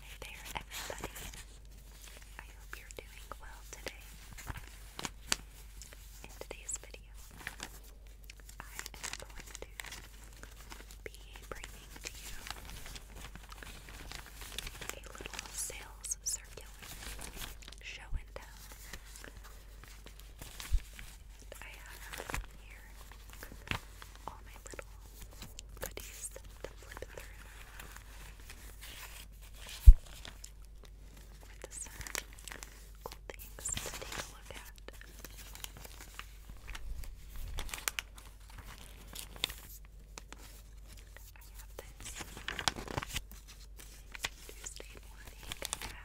Hey there, everybody. I hope you're doing well today. In today's video, I am going to be bringing to you a little sales circular show and I have here all my little goodies to flip through with the sun. Cool things to take a look at. I have this Tuesday morning. I had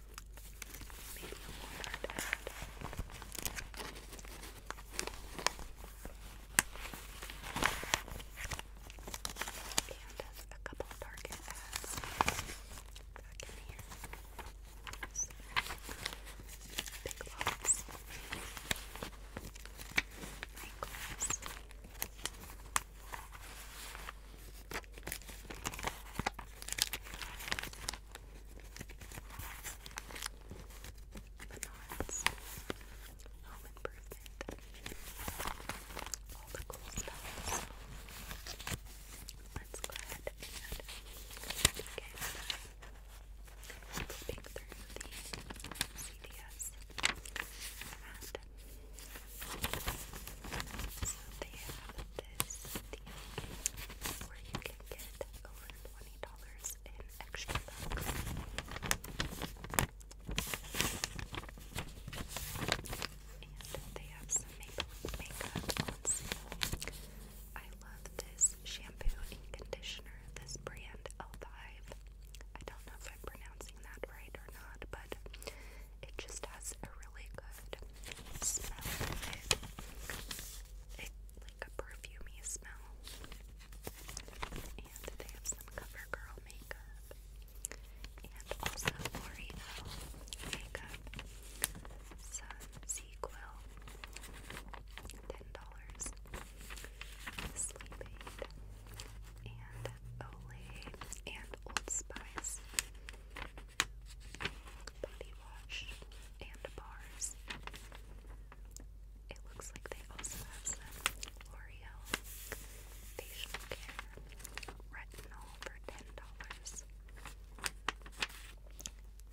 Maybe a more hard ad. And a couple of Target ads back in here. So, big lots. Michaels. Menards, Home Improvement, all the cool stuff. let's go ahead and get through the CDS so they have this where you can get over twenty dollars in extra bucks. And they have some makeup I love this shampoo and conditioner. This brand L5. I don't know if I'm pronouncing that right or not, but it just has a really good smell like a perfumey smell. And they have some CoverGirl makeup. And also L'Oreal makeup. Some Sequel. Ten dollars. Sleep Aid. And Olay. And Old Spice. Body wash and bars. It looks like they also have L'Oreal facial care retinol for ten dollars.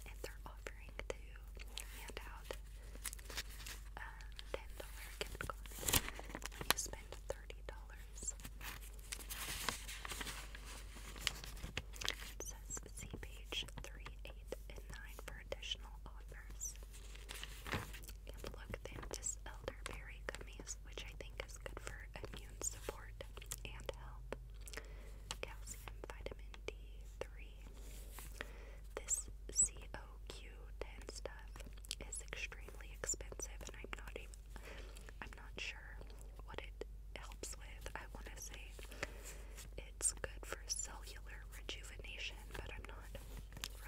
And they're offering to hand out a uh, ten dollar gift card when you spend thirty dollars. Please see page 3, 8, and 9 for additional offers. And look, they elderberry which I think is good for immune support and health. Calcium, vitamin D3. This COQ10 stuff is extremely expensive, and I'm not even. I'm not sure what it helps with. I want to say it's good for cellular rejuvenation, but I'm not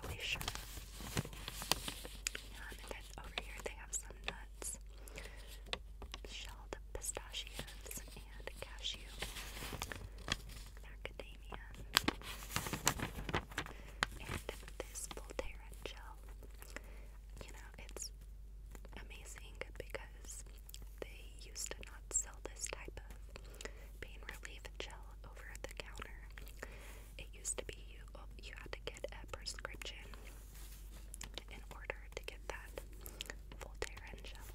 really sure. and then over here they have some nuts, shelled pistachios and cashew, macadamia, and this Voltaren gel. You know, it's amazing because they used to not sell this type of pain relief gel over the counter. It used to be you oh, you had to get a prescription in order to get that Voltaren gel.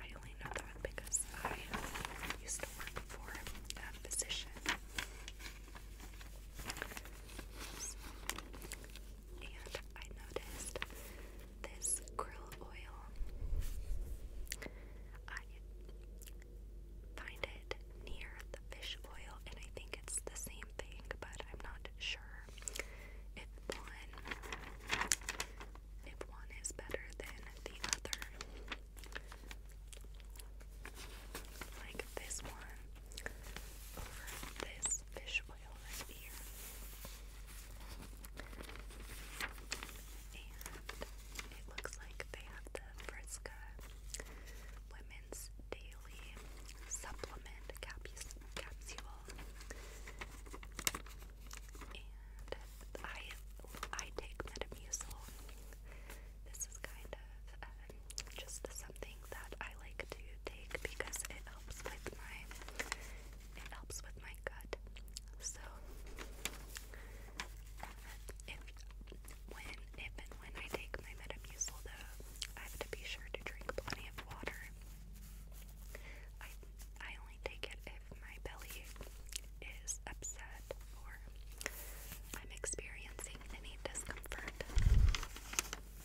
I only know that because I used to work for a physician and I noticed this krill oil. I find it near the fish oil, and I think it's the same thing, but I'm not sure if one if one is better than the other. Like this one over this this fish oil right here. And it looks like they have the Frisca Women's Daily Supplement Capsule. And I, I take Metamucil. This is kind of um, just something that I like to take because it helps with my it helps with my gut. So if when if and when I take my Metamucil though, I have to be sure to drink plenty of water. I I only take it if my belly is upset or I'm experiencing any discomfort. And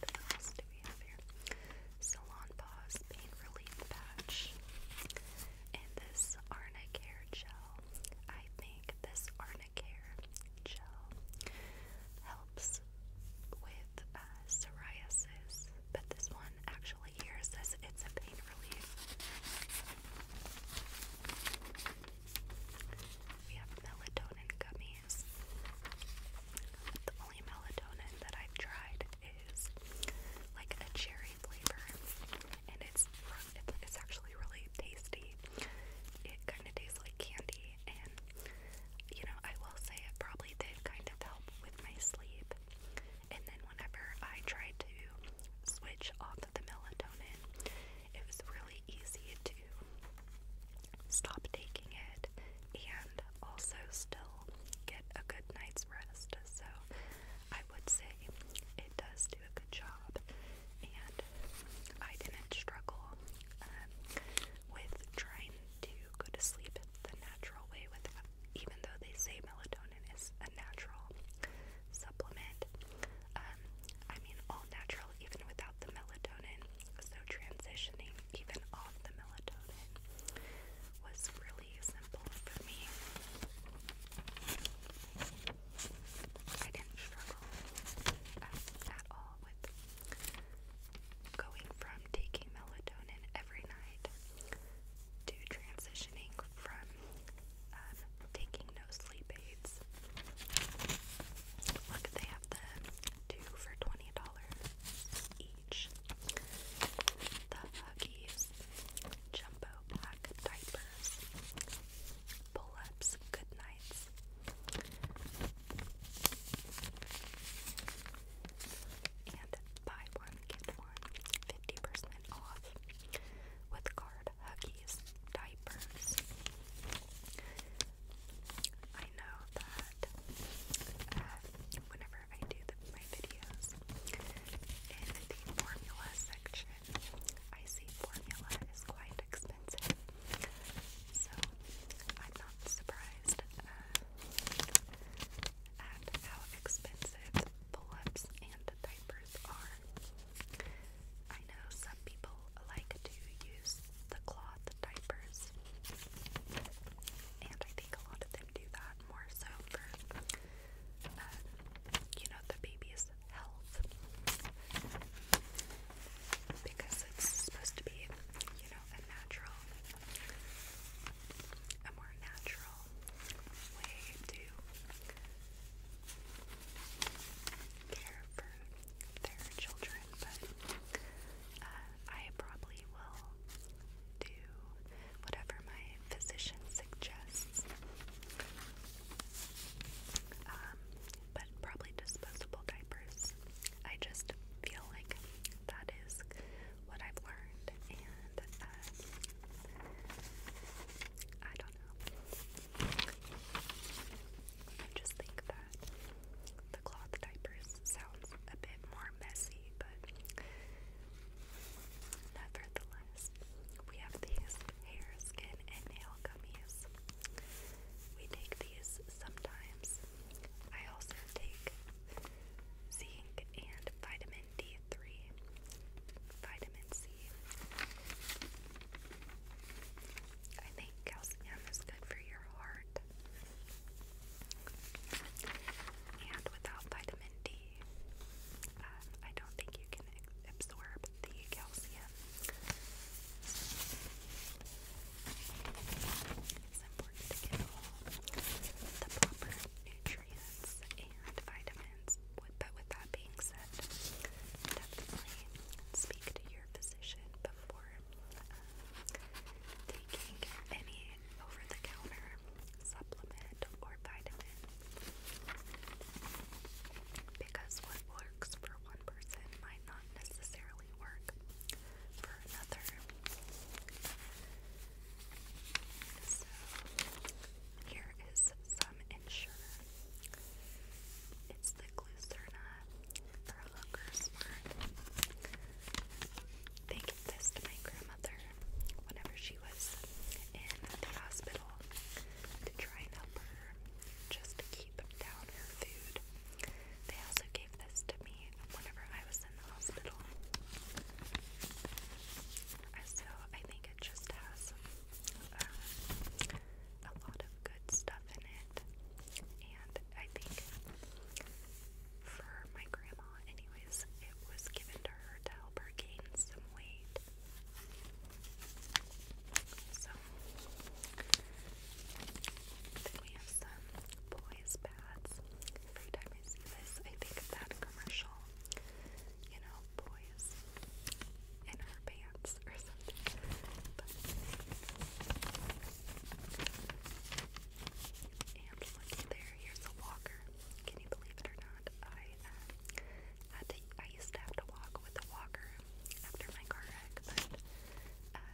what else do we have here? Salon Pause Pain Relief Patch. And this Arnicare Gel. I think this Arnicare Gel helps with uh, psoriasis, but this one actually here says it's a pain relief. We have melatonin gummy. The only melatonin that I've tried is like a cherry flavor, and it's it's actually really tasty. It kind of tastes like candy, and you know I will say it probably did kind of help with my sleep. And then whenever I tried to switch off the melatonin, it was really easy to stop taking it and also still get a good night's rest. So I would say it does do a good job, and I didn't struggle um, with trying to go to sleep the natural way with even though they say melatonin is a natural supplement. Um, I mean all natural even without the melatonin. So, transitioning even off the melatonin was really simple for me. I didn't struggle at, all with going from taking melatonin every night to transitioning from um, taking no sleep aids. Look, they have the two for $20 each. The Huggies Jumbo Black Diapers, Pull Ups, Good Nights. And buy one, get one, 50% off with card Huggies diapers. I know that um, whenever I do my videos in the formula section, I see formula is quite expensive, so I'm not surprised uh, at how expensive pull-ups and diapers are. I know some people like to the cloth diapers. And I think a lot of them do that more so for, uh, you know, the baby's health. Because it's supposed to be, you know, a natural, a more natural way to care for their children, but uh, I probably will do whatever my physician suggests. Um, but probably disposable diapers. I just feel like that is what I've learned, and um, I don't know. I just think that. The cloth diapers sounds a bit more messy, but nevertheless, we have these hair, skin, and nail gummies. We take these sometimes. I also take zinc and vitamin D3, vitamin C. I think calcium is good for your heart and without vitamin D, um, don't think you can absorb the calcium. It's important to get all the proper nutrients and vitamins. But with that being said, definitely speak to your physician before um, taking any over the counter supplement or vitamin because what works for one person might not necessarily work for another. So, here is some Ensure. It's the Glucerna for a hooker smart. They gave this to my grandmother whenever she was in the hospital to try and help her just to keep down her food. They also gave this to me whenever I was in the hospital. So I think it just has uh, a lot of good stuff in it. And I think for my grandma, anyways, it was given to her to help her gain some weight. So, then we have some boys' pads. Every time I see this, I think of that commercial. You know, boys in her pants or something. But and looky there, here's a walker. Can you believe it or not? I uh, I used to have to walk with a walker after my car wreck, but uh,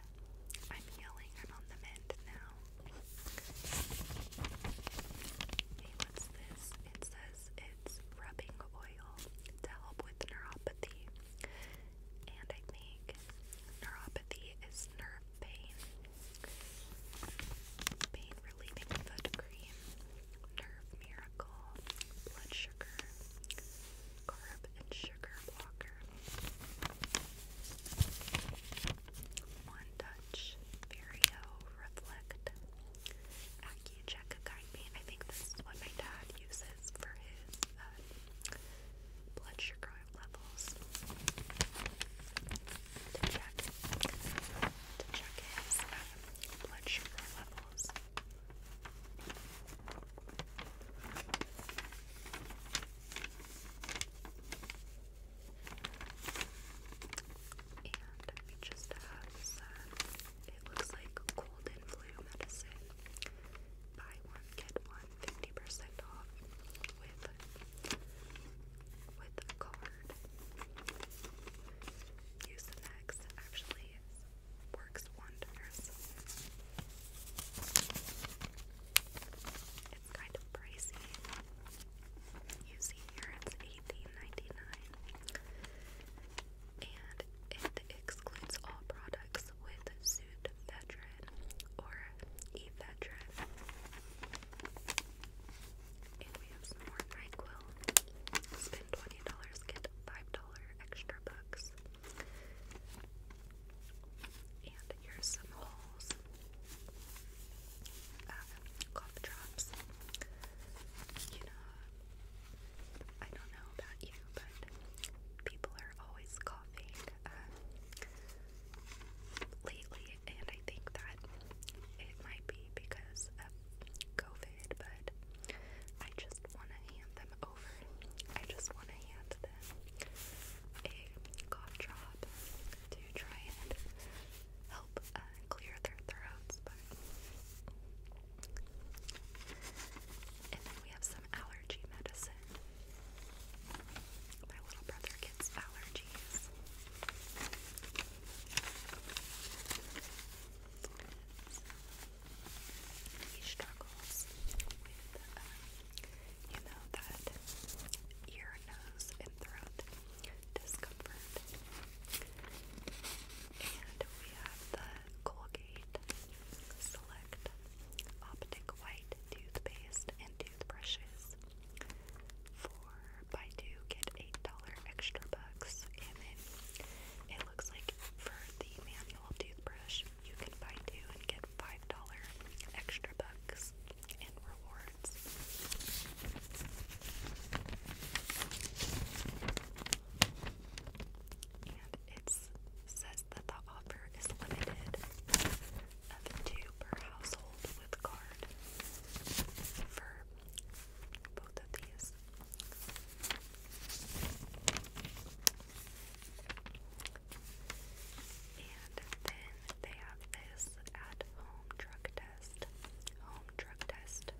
I'm healing. I'm on the mend now. Hey, what's this? It says it's rubbing oil to help with neuropathy, and I think neuropathy is nerve pain, pain relieving foot cream, nerve miracle, blood sugar, carb and sugar blocker, one touch, Vario reflect, AccuCheck me. I think this is what my dad uses for his uh, blood sugar levels to check to check his um, blood sugar levels. And just have it looks like cold and flu medicine. Buy one, get one. 50% off with with a card. Use the Max actually works wonders. It's kind of pricey. You see here it's 18 and it excludes all products with suit, veteran, or ephedrine. And we have some more NyQuil. Spend $20, get $5 extra bucks. And here's some holes. Uh, cough drops. You know, I don't know about you, but people are always coughing. Uh, lately, and I think that it might be because of COVID, but I just want to hand them over. I just want to hand them a cough drop to try and help uh, clear their throats, but. And then we have some allergy medicine. My little brother gets allergies. He struggles with, um, you know, that ear, nose, and throat discomfort. And we have the Colgate Select Optic White Toothpaste toothbrushes for Baidu. Get eight dollar extra bucks, and then it looks like for the manual toothbrush, you can buy two and get five dollar extra bucks in rewards. And it says that the offer is limited of two per household with card for both of these. And then they have this at home drug test. Home drug test.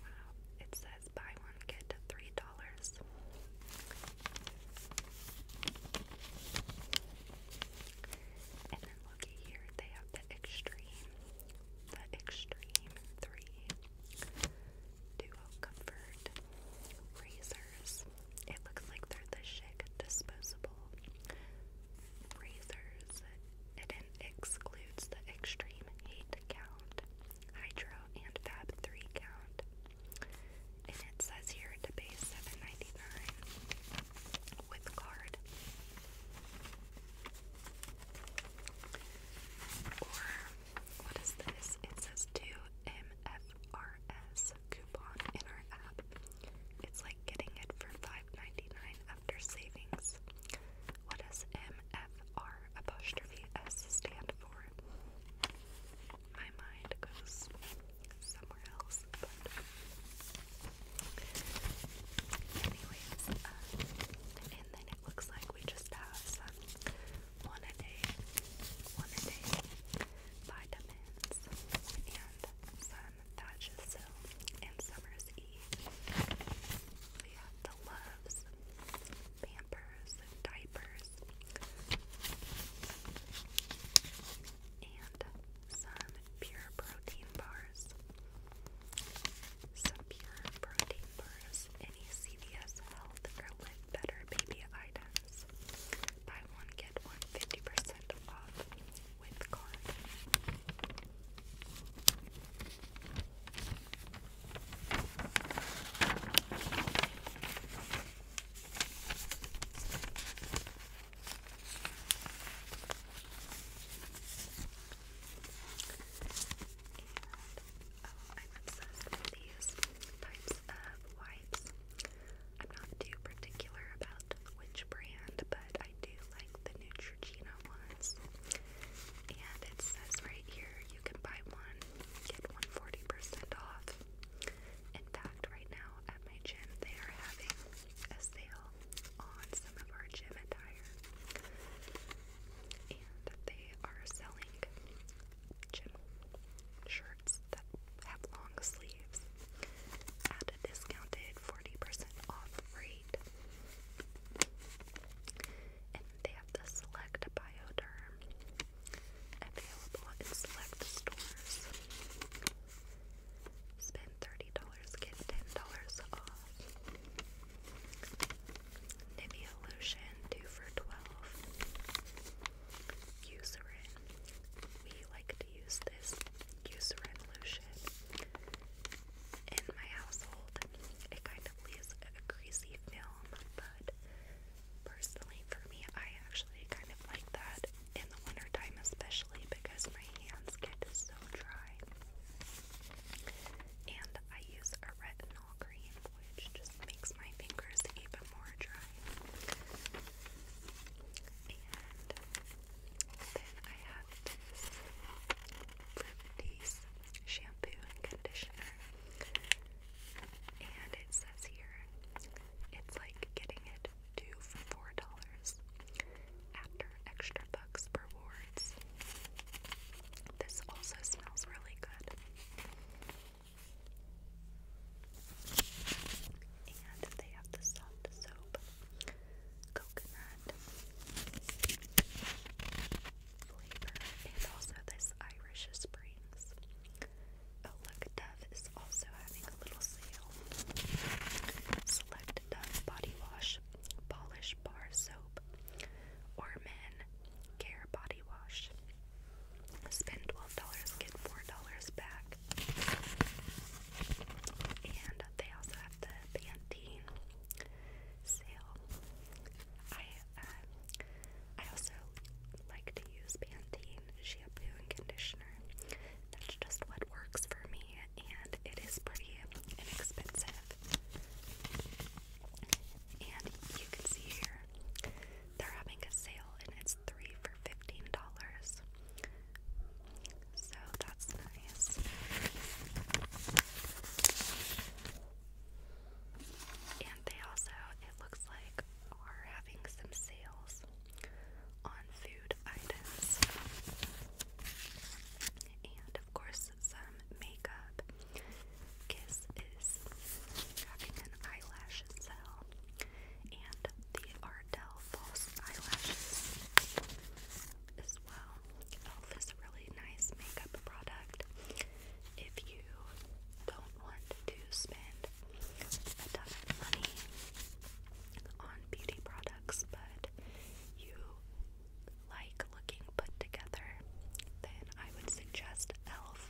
Wow, it says buy one, get three dollars. And then looky here, they have the Extreme, the Extreme 3 Duo Comfort razors. It looks like they're the chic disposable razors. It excludes the Extreme 8 count, Hydro, and Fab 3 count and it says here to pay 7 dollars with card. Or what is this? It says 2MFRS coupon in our app. It's like getting it for 5 after savings. What MFR apostrophe S stand for? my mind goes somewhere else. But anyways, uh, and then it looks like we just have one a day, one a day vitamins and some Thatch's and Summer's Eve. We have the Loves, Pampers, Diapers, and some pure protein bars. Some pure protein bars. Any CVS Health or Better baby items. Buy one, get one 50% off with card. I'm obsessed with these types of wipes. I'm not too particular about which brand, but I do like the Neutrogena ones. And it says right here you can buy one, get one forty percent off. In fact, right now at my gym, they are having a sale on some of our gym attire. And they are selling gym shirts that have long sleeves at a discounted 40% off rate. And they have the Select Bioderm available in select stores. Spend $30, get $10 off. Nivea lotion, 2 for 12. Eucerin. We like to use this Eucerin lotion in my household. It kind of leaves a greasy film, but personally for me, I actually kind of like that in the wintertime, especially because my hands get so dry. And I use a retinol cream, which just makes my fingers even more dry. And then I have this shampoo and conditioner. And it says here, it's like getting it two for four dollars after extra bucks per wards. This also smells really good. And they have the soft soap, coconut flavor, and also this Irish Springs. Oh, look, Dove Dove also having a little sale. Select Dove Body Wash, Polish Bar Soap, or Men Care Body Wash. Spend $12, get $4 back. And they also have the Pantene sale. I uh, I also like to use Pantene shampoo and conditioner. That's just what works for me, and it is pretty inexpensive. And you can see here, they're having a sale, and it's three for $15. So that's nice. And they also, it looks like, are having some sales on food items. And of course, some makeup. Kiss is having an eyelash sale, and the Ardell false eyelashes as well. Elf is a really nice makeup product if you don't want to spend a ton of money on beauty products, but you like looking put together, then I would suggest e.l.f.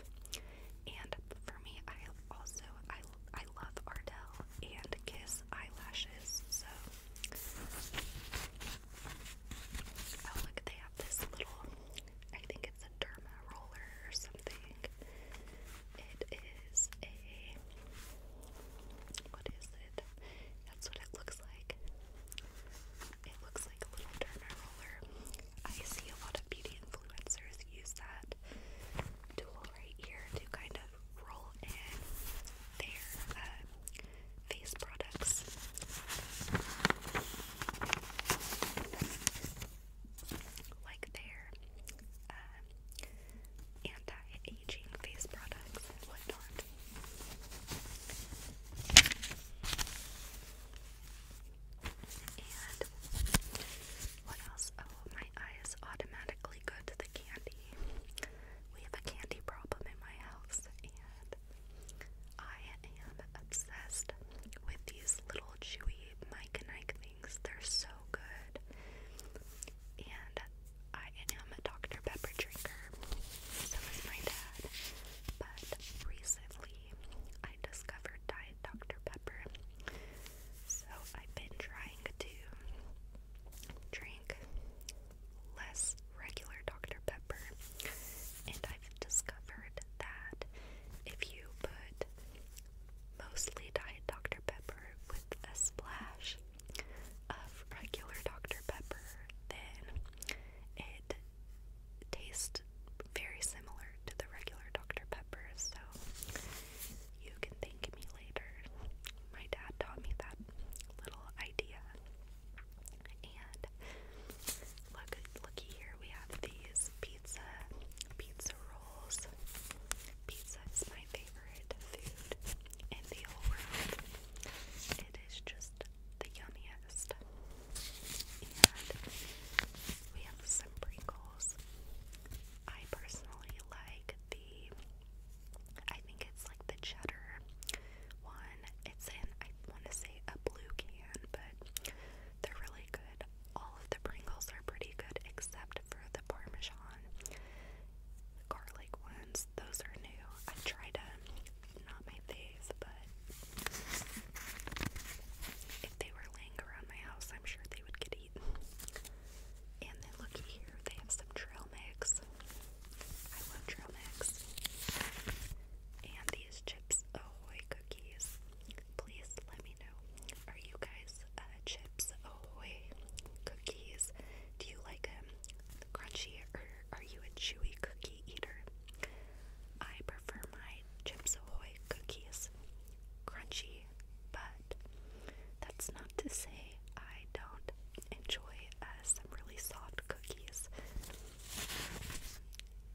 And for me, I also I I love Ardell and Kiss eyelashes, so oh, look, they have this little I think it's a derma roller or something. It is a what is it? That's what it looks like. It looks like a little Turner roller. I see a lot of beauty influencers use that tool right here to kind of roll in their uh, products. Like their uh, anti-aging face products and whatnot. And what else? Oh, my eyes automatically go to the candy. We have a candy problem in my house, and I am obsessed with these little chewy Mike and Ike things. They're so good. And I am a Dr. Pepper drinker, so is my dad. But recently I discovered Diet Dr. Pepper, so I've been trying to drink less regular Dr. Pepper, and I've discovered that if you put mostly Diet Dr. Pepper with a splash of regular Dr. Pepper, then it tastes very similar to the regular Dr. Pepper, so you can thank me later. My dad taught me that little idea. And look, looky here, we have these pizza, pizza rolls. Pizza is my favorite favorite food in the whole world. It is just the yummiest. we have some Pringles. I personally like the, I think it's like the cheddar one. It's in, I want to say a blue can, but they're really good. All of the Pringles are pretty good except for the Parmesan garlic one. Those are new. I try to not my face, but if they were laying around my house, I'm sure they would get eaten. And then looky here, they have some trail mix. I love trail mix. And these chips ahoy cookies. Please let me know. Are you guys uh, chips ahoy cookies? Do you like them? crunchy or are you a chewy cookie eater? I prefer my Chips Ahoy cookies crunchy, but that's not to say I don't enjoy uh, some really soft cookies.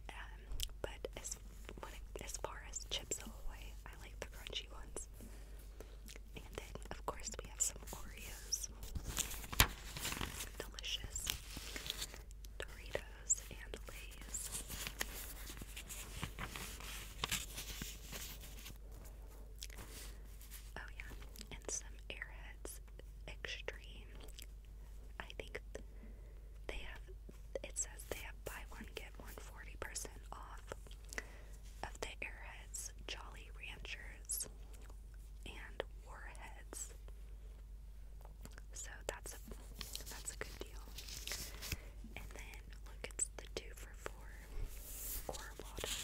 Um, but as as far as Chips Ahoy, I like the crunchy ones. And then, of course, we have some Oreos, delicious Doritos, and Lay's. Oh, yeah, and some Airheads Extreme. I think they have, it says they have buy one, get one percent off of the Airheads, Jolly Ranchers, and Warheads. So that's a that's a good deal. And then look, it's the two for four core water.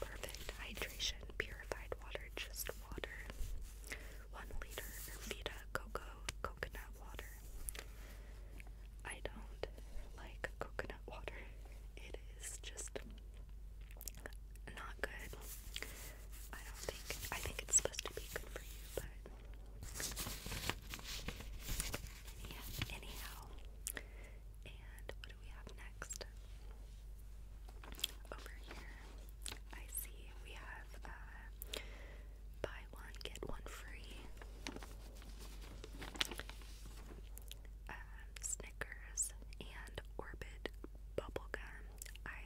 Perfect hydration, purified water, just water. One liter Vita Coco coconut water. I don't like coconut water. It is just not good. I don't think I think it's supposed to be good for you, but yeah, anyhow. And what do we have next? Over here, I see we have uh, buy one get one free. Um, Snickers, and Orbit bubblegum. I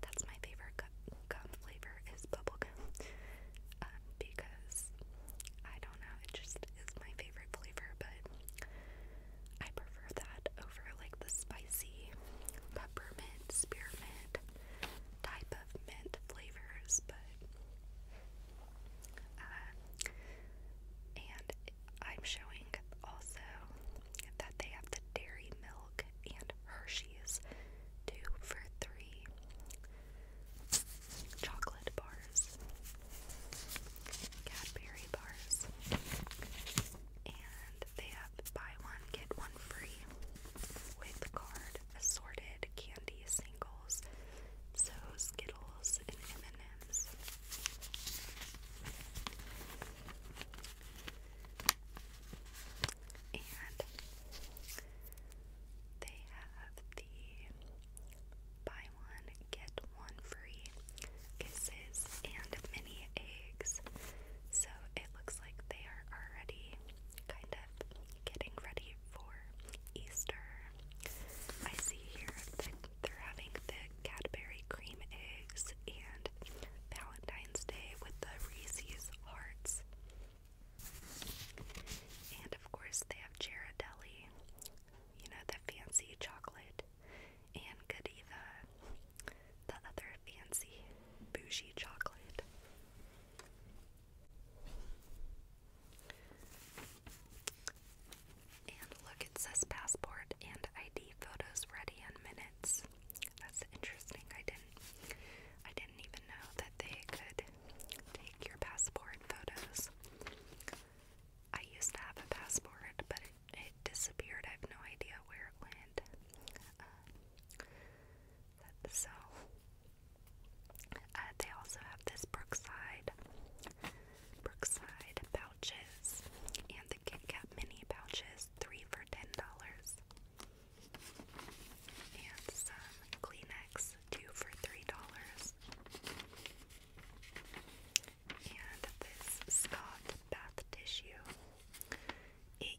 that's my favorite gum, flavor is bubble gum um, because I don't know, it just is my favorite flavor, but I prefer that over like the spicy peppermint, spearmint type of mint flavors, but. Uh, and I'm showing also that they have the dairy milk and Hershey's two for three chocolate bars, Cadbury bars, and they have buy one, get one free with card assorted candy singles. So Skittles and M& acronyms. And they have the buy one, get one free kisses and mini eggs. So it looks like they are already kind of getting ready for Easter. I see here that they're having the Cadbury cream eggs and Valentine's Day with the Reese's hearts. And of course, they have Ghirardelli, you know, the fancy chocolate, and Godiva, the other fancy bougie chocolate. And look, it says passport and ID photos ready in minutes. That's interesting. I didn't I didn't even know that they could take your passport photos. I used to have a passport, but it, disappeared. I have no idea where it went. Uh, so, uh, they also have this Brookside Brookside pouches and the Kit Kat mini pouches, three for $10. And some Kleenex, two for $3. And this Scott bath tissue, 18,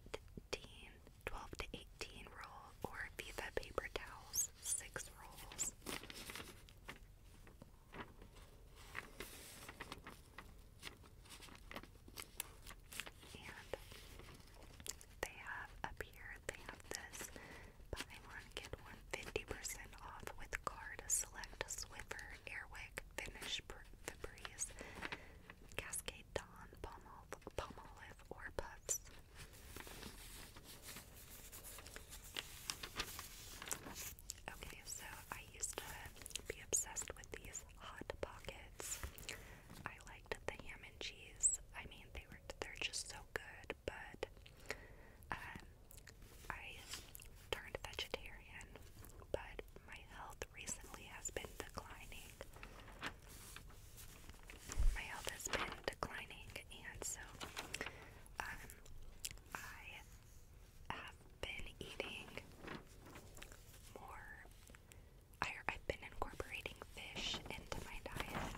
12 to 18 roll, or Viva paper towels, six rolls they have up here, they have this buy one, get one 50% off with card select Swiffer, Airwick, Finish, Febreze, Cascade Dawn, Palm or Puffs. Okay, so I used to be obsessed with these hot pockets. I liked the ham and cheese. I mean, they were they're just so good, but um, I turned vegetarian, but my health recently has been declining. My health has been declining, and so um, I have been eating more. I, I've been incorporating fish into my diet,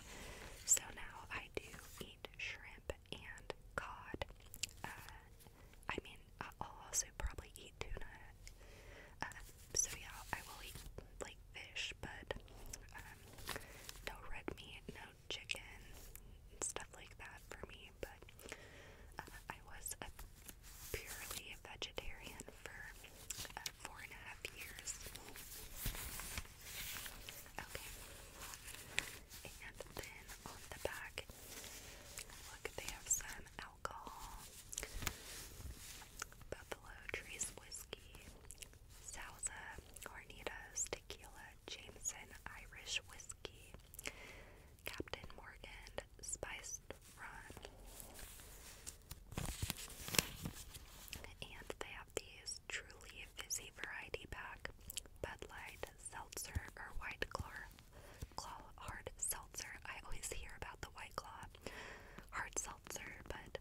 so now I do eat shrimp and cod. Uh, I mean, I'll also probably eat tuna. Uh, so yeah, I will eat like fish, but um, no red meat, no chicken and stuff like that for me, but uh, I was a purely vegetarian for uh, four and a half years. Okay, and then on the back, look, they have some alcohol. Buffalo Trace Whiskey, Salsa, Hornitos, Tequila, Jameson Irish Whiskey, Captain Morgan Spiced Rum. And they have these truly fizzy variety pack Bud Light, Seltzer, or White Claw, Claw Hard Seltzer. I always hear about the White Claw Hard Seltzer, but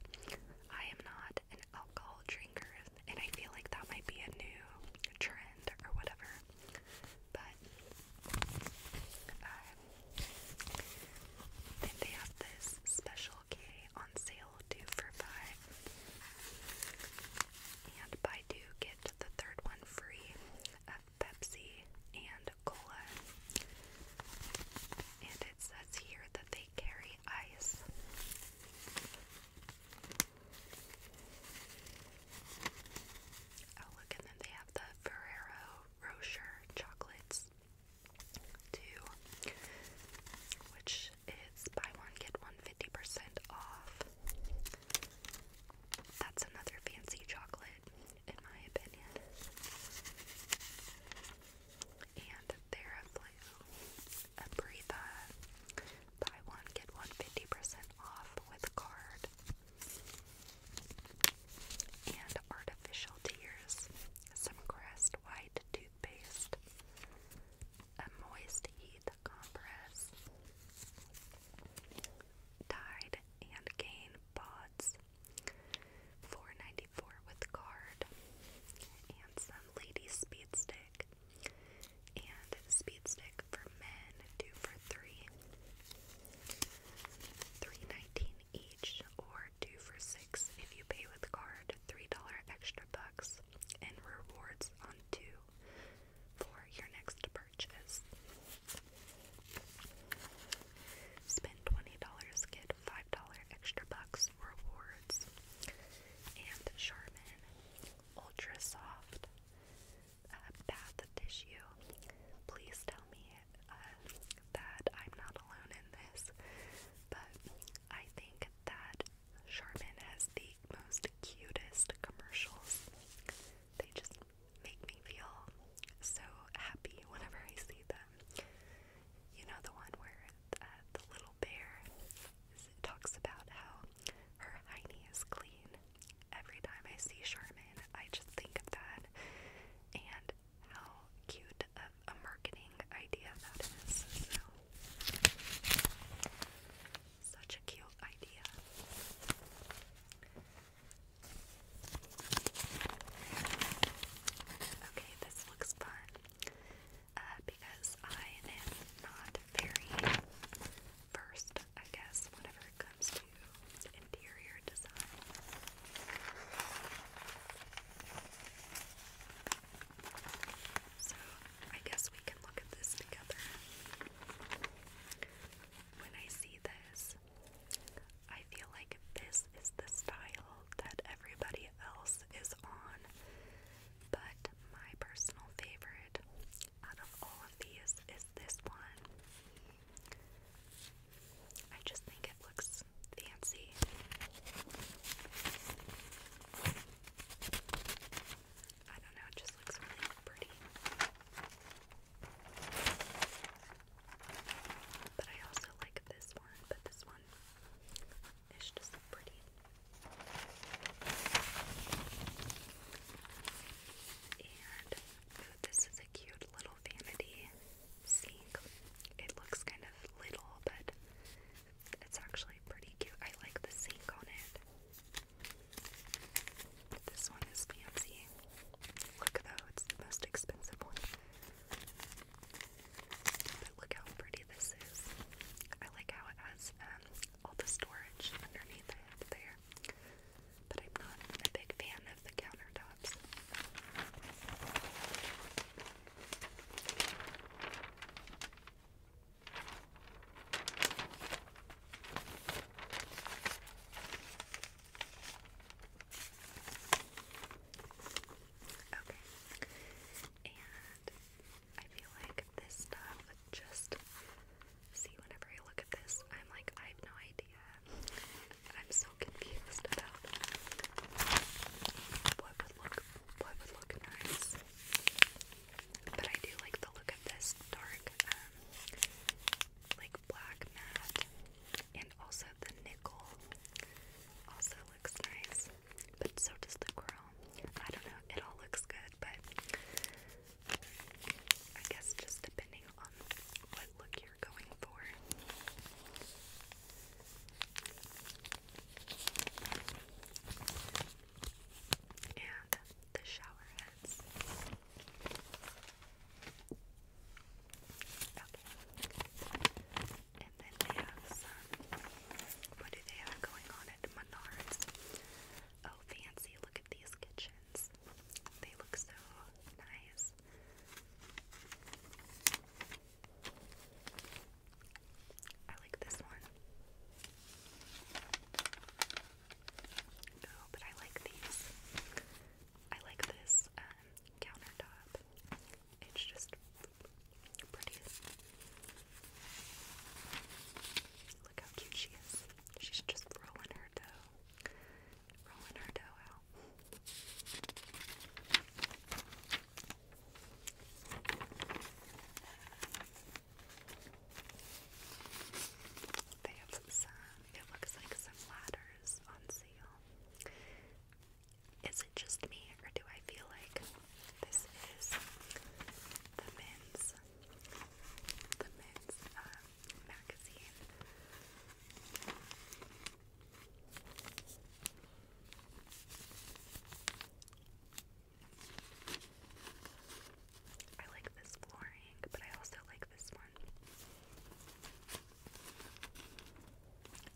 I am not an alcohol drinker, and I feel like that might be a new trend or whatever. But um, then they have this special K on sale, two for five, and Baidu get the third one free of Pepsi and cola. And it says here that they carry ice. Oh, look, and then they have the Ferrero Rocher chocolates, too, which is buy one, get one fifty percent off. That's another fancy chocolate, in my opinion. And Theraflu, a breather buy one, get one percent off with card. And artificial tears, some Crest White toothpaste, a moist heat compress, Tide and Gain pods, four ninety four dollars 94 with card, and some Lady Speed Stick and speed stick for men, two for three, three nineteen each, or two for six if you pay with card, three dollar extra bucks, and rewards on two for your next purchase. Spend twenty dollars, get five dollar extra bucks rewards. And Charmin Ultra Soft uh, bath tissue. Please tell me uh, that I'm not alone in this, but I think that Charmin has the most cutest commercials. They just make me feel so happy whenever I see them. You know, the one where uh, the little bear talks about how her hiney is clean Every time I see Charmin, I just think of that and how cute of a marketing idea that is. such a cute idea. Okay, this looks fun uh, because I am not very. First, I guess, whatever comes to interior design. So I guess we can look at this together. When I see this, I feel like this is the style that everybody else is on, but my personal favorite out of all of these is this one. I just think it looks fancy. I don't know, it just looks really pretty. But I also like this one, but this one is just pretty. And this is a cute little vanity sink. It looks kind of little, but it's actually pretty cute. I like the sink on it. This one is fancy. Look though, it's the most expensive one. But look how pretty this is. I like how it has um, all the storage underneath there but I'm not a big fan of the countertops. Okay, and I feel like this stuff just see whenever I look at this, I'm like, I have no idea. I'm so confused about what would look what would look nice. But I do like the look of this dark um, like black matte and also the nickel also looks nice. But so does the chrome. I don't know, it all looks good, but I guess just depending on what look you're going for. And the shower heads. And then they have some. What do they have going on at Menards? Oh, fancy. Look at these kitchens. They look so nice. I like this one. Oh, but I like these. I like this um, countertop. It's just pretty. Look how cute she is. She's just rolling her dough. They have some, it looks like some ladders on sale. Is it just me, or do I feel like this is the men's, the men's um, I like this flooring, but I also like this one.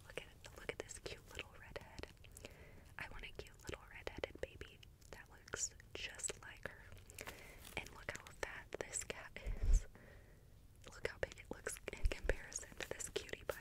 Look at look at this cute little redhead. I want a cute little redheaded baby. That looks just like her. And look how fat this cat is. Look how big it looks in comparison to this cutie pie.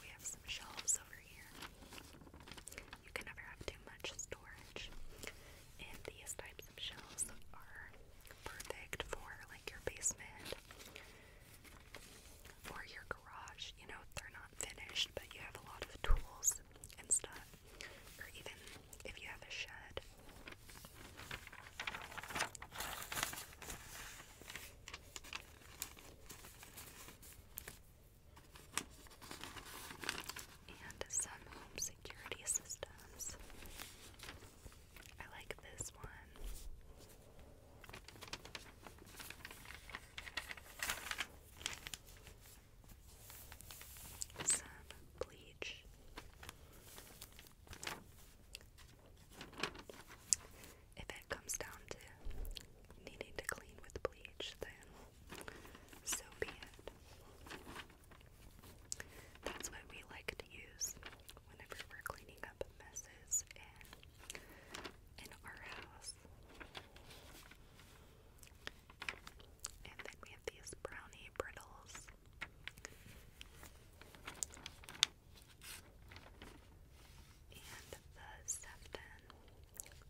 We have some shelves over here. You can never have too much storage. And these types of shelves are perfect for like your basement or your garage. You know, they're not finished, but you have a lot of tools and stuff or even if you have a shed. And some home security systems. I like this one some bleach. If it comes down to needing to clean with bleach, then so be it. That's what we like to use whenever we're cleaning up messes in, in our house. And then we have these brownie brittles. And the Sefton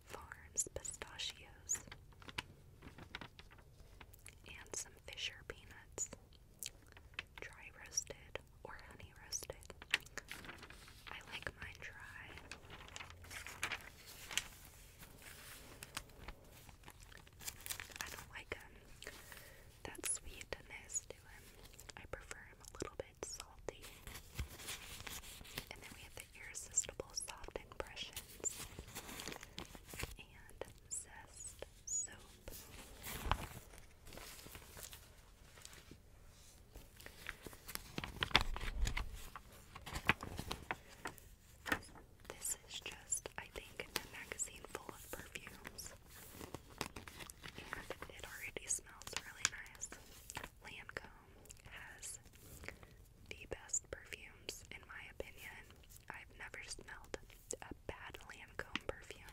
Farms pistachios. And some Fisher peanuts. Dry roasted or honey roasted. I like mine dry. I don't like um, that sweetness to him. I prefer him a little bit salty. And then we have the irresistible soft impressions and zest soap. This is just, I think, a magazine full of perfumes. And it already smells really nice. Lancome has the best perfumes, in my opinion. I've never smelled a bad Lancome perfume.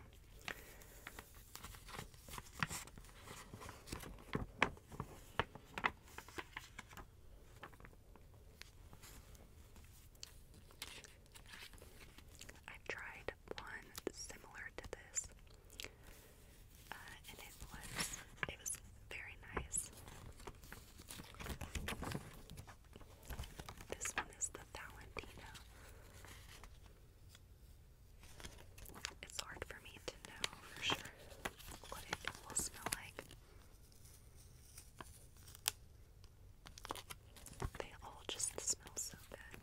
I've tried one similar to this, uh, and it was it was very nice. This one is the Valentino. It's hard for me to know for sure what it will smell like. They all just smell so good.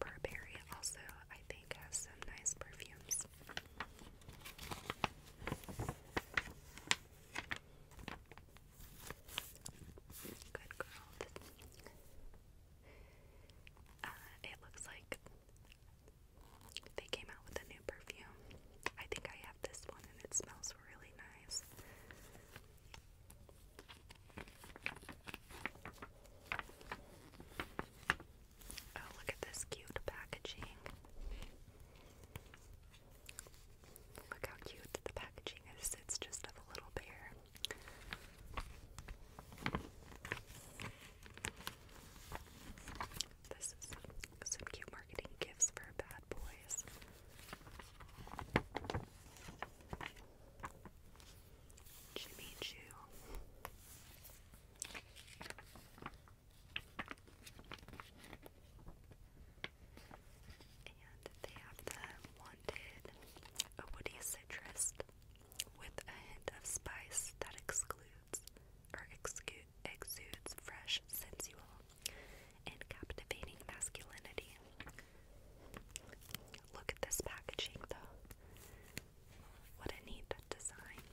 Burberry also, I think, has some nice perfumes. Good girl. Uh, it looks like they came out with a new perfume. I think I have this one and it smells really nice. Oh, look at this cute packaging. Look how cute the packaging is. It's just of a little bear. This is some cute marketing gifts for bad boys. Jimmy Choo. And they have the wanted a woody citrus with a hint of spice that excludes exudes or exudes fresh, sensual, and captivating masculinity. Look at this packaging though. What a neat design.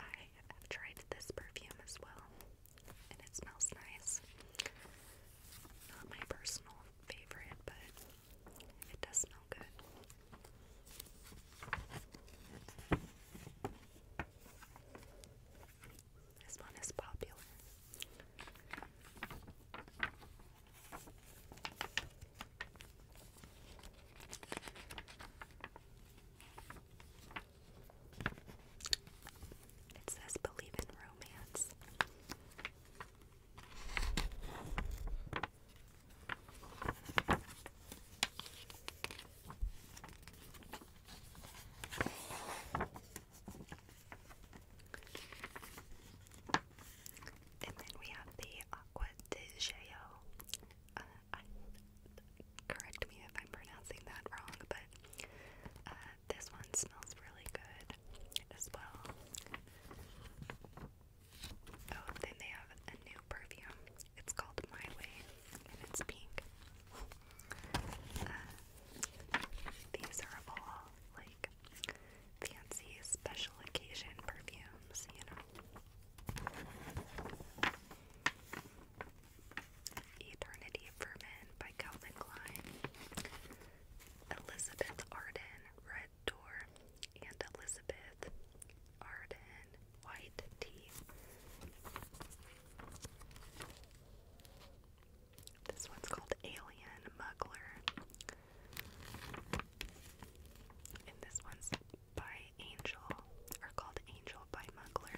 I have tried this perfume as well and it smells nice. Not my personal favorite, but it does smell good. This one is popular. It says believe in romance. And then we have the Aqua de Geo. Uh, correct me if I'm pronouncing that wrong, but uh, this one smells really good as well. Oh, then they have a new perfume. It's called My Way, and it's pink. Uh, these are all like fancy special occasion perfumes, you know. Eternity Ferment by Calvin Klein. Elizabeth Arden, red door, and Elizabeth Arden, white tea. This one's called Alien Muggler. And this one's by Angel, or called Angel by Muggler.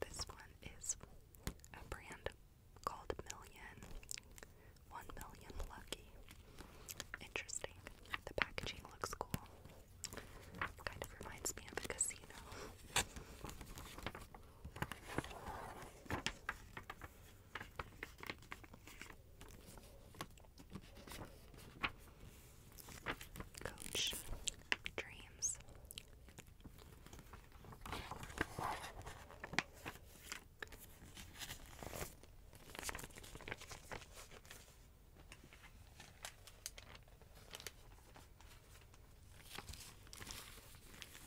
This one is a brand called Million, One Million Lucky. Interesting. The packaging looks cool. Kind of reminds me of a casino. Coach Dreams.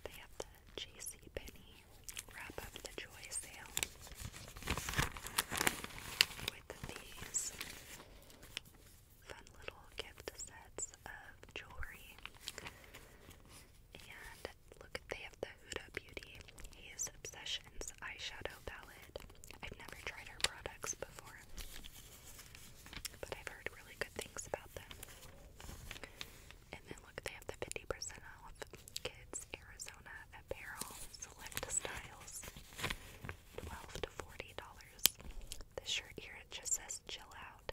They have the JC Penny wrap up the joy sale with these fun little gift sets of jewelry. And look, they have the Huda Beauty Haze Obsessions eyeshadow palette. I've never tried her products before. But I've heard really good things about them. And then look, they have the 50% off Kids Arizona Apparel Select Styles. 12 to $40. This shirt here, it just says chill out.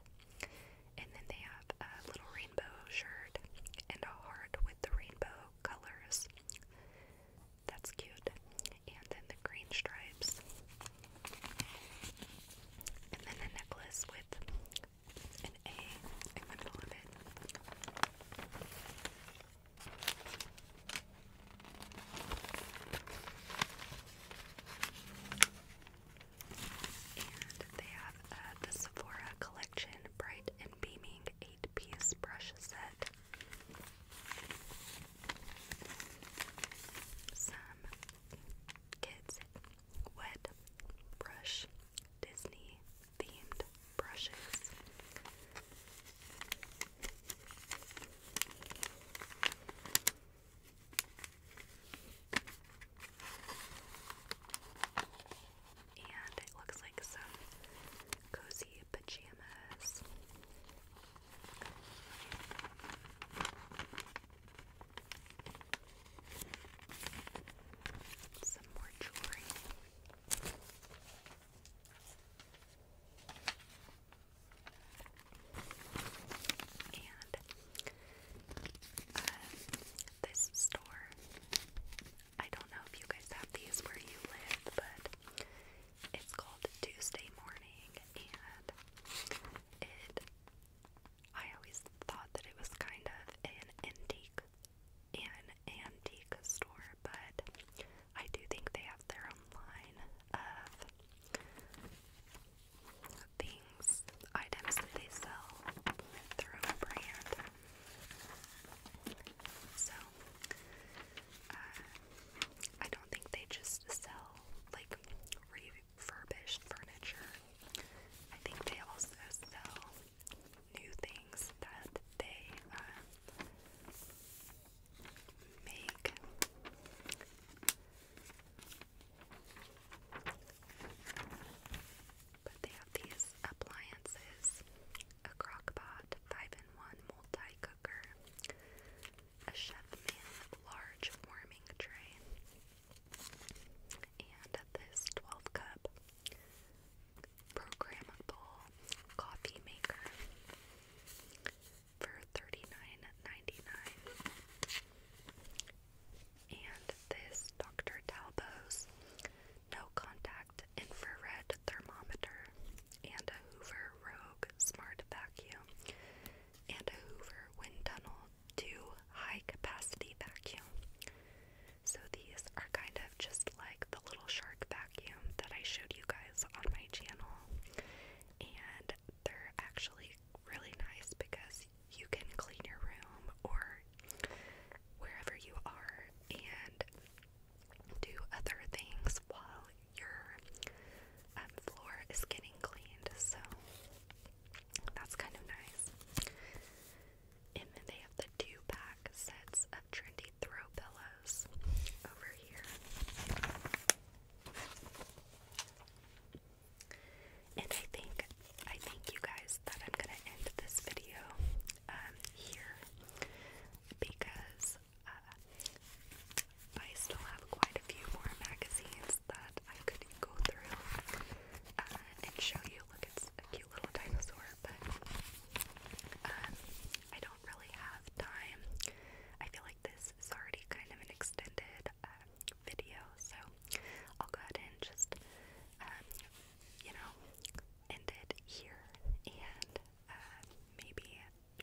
And then they have a little rainbow shirt and a heart with the rainbow colors. That's cute. And then the green stripes. And then a necklace with an A in the middle of it. And they have the Sephora Collection Bright and Beaming 8 piece brush set. Some kids wet brush Disney themed brushes. And it looks like some cozy pajamas. Some more jewelry. And uh, this store, I don't know if you guys have these where you live, but it's called Tuesday Morning, and it I always thought that it was kind of an antique, an antique store, but I do think they have their own line of things, items that they sell, their own brand. So, uh, I don't think they just sell like Furbished furniture. I think they also sell new things that they uh, make. But they have these appliances a crock 5 in 1 multi cooker, a chef large warming tray, and this 12 cup programmable coffee maker for 39 And this Dr. Talbo's no contact infrared thermometer, and a Hoover Rogue smart vacuum, and a Hoover wind tunnel to high capacity vacuum. So these are kind of just like the little shark vacuum that I showed you guys on my channel. And they're actually really nice because you can clean your room or wherever you are and do other things while your um, floor is getting cleaned. So that's kind of nice. And then they have the two pack sets of trendy throw pillows over here. And I think I thank you guys that I'm gonna end this video um, here because uh, I still have quite a few more magazines that I could go through. Uh, and show you. Look, it's a cute little dinosaur, but um, I don't really have time. I feel like this is already kind of an extended uh, video, so I'll go ahead and just, um, you know, end it here and uh, maybe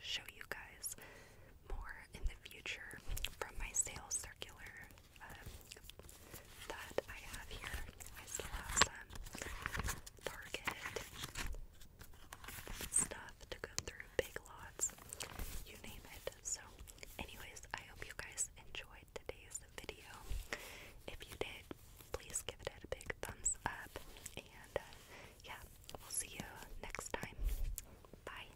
show you guys more in the future from my sales circular that I have here. I still have some Target stuff to go through, big lots, you name it. So, anyways, I hope you guys enjoyed today's video. If you did, please give it a big thumbs up. And uh, yeah, we'll see you next time. Bye.